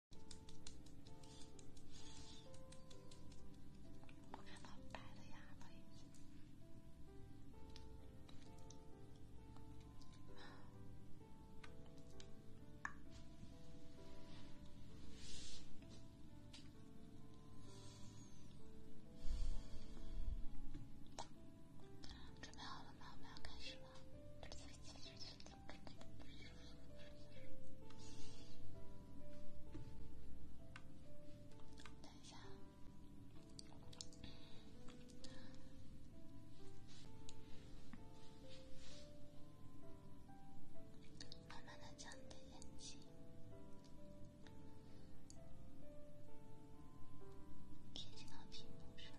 我看到白的牙了，已经。准备好了吗？我们要开始了。这等一下，慢慢的将你的眼睛贴近到屏幕上。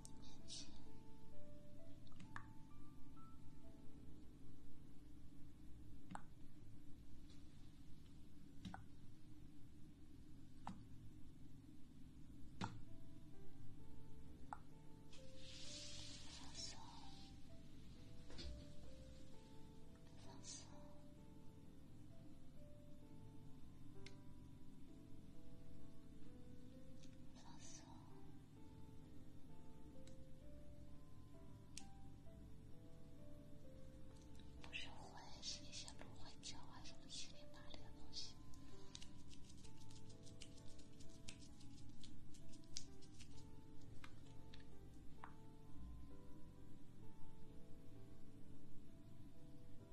放松，放松。蓝色，不是灰，是一些芦荟胶啊，什么七零八零的东西。你会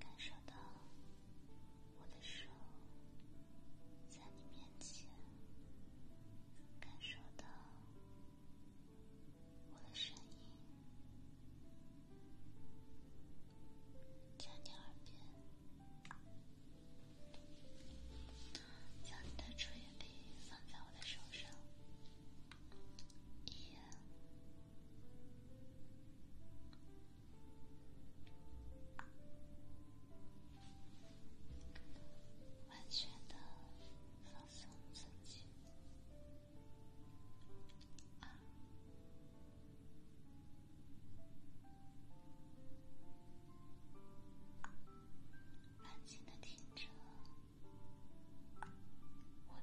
感受到我的手在你面前，感受到我的声音在你耳边。将你的注意力放在我的手上，一，完全的放松自己，二。安静的听着声音，我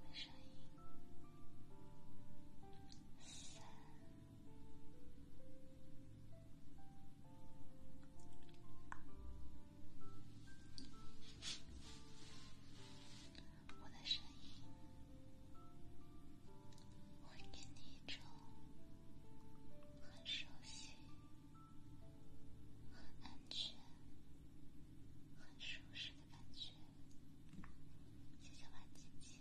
的声音。会给你一种很熟悉、很安全、很舒适的感觉。谢谢万姐姐。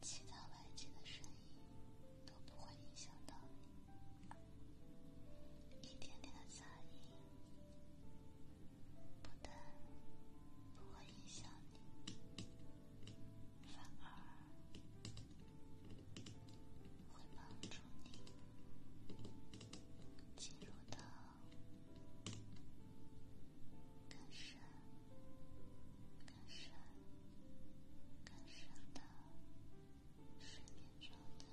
其他外界的声音都不会影响到你，一点点的杂音不但不会影响你，反而会帮助你进入到。改善、改善、改善的睡眠状态，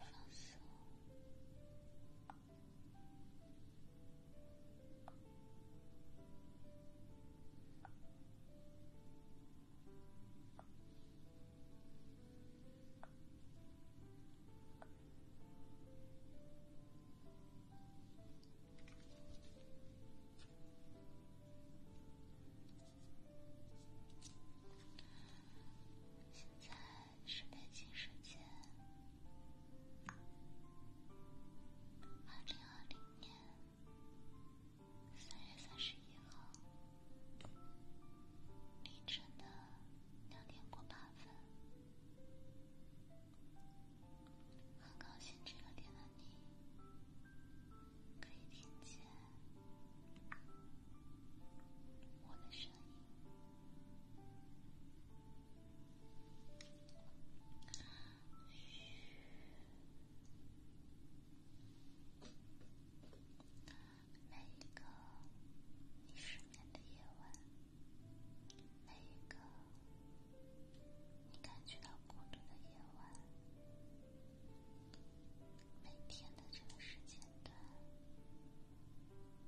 放松。现在。是北京时间二零二零年三月三十号凌晨的两点过八分，很高兴这个点的你可以听见我的声音。每一个你失眠的夜晚，每一个你感觉到孤独的夜晚，每天的这个时间段。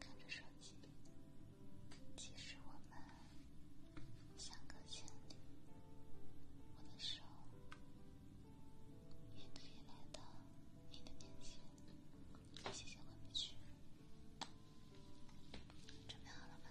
看着手机，即使我们相隔千里，我的手也可以来到你的面前。谢谢昆曲，准备好了吗？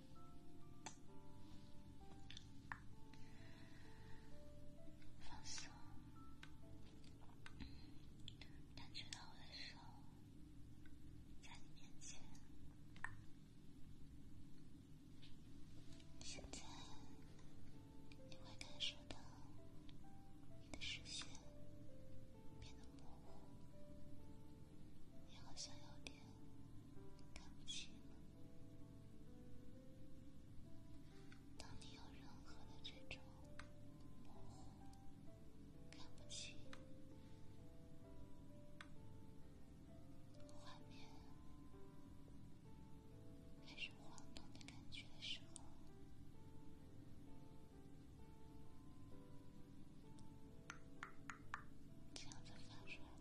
放松，感觉到我的手在你面前。现在你会感受到你的视线变得模糊。你好像有点看不清。当你有任何的这种模糊、看不清画面，还是晃动的感觉的时候，这样子翻出来。现在画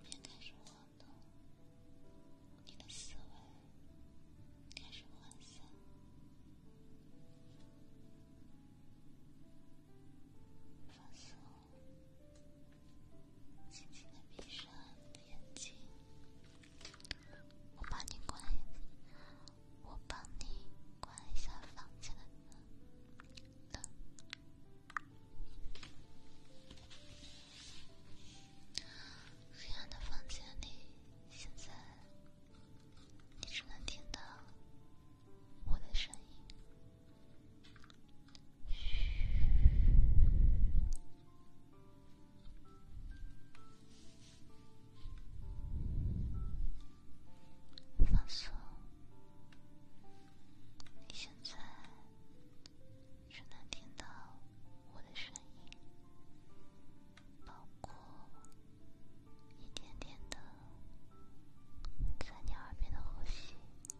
面开始晃动，你的思维开始涣散，放松。轻轻的闭上眼睛，我帮你关，我帮你关一下房间的灯。黑暗的房间里，现在你只能听到我的声音。放松，你现在只能听到我的声音，包括一点点的在你耳边的呼吸。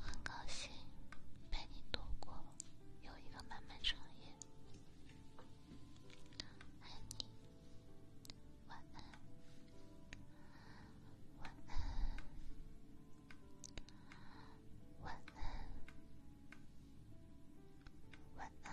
很高兴陪你度过有一个漫漫长夜，爱你，晚安，晚安，晚安，晚安。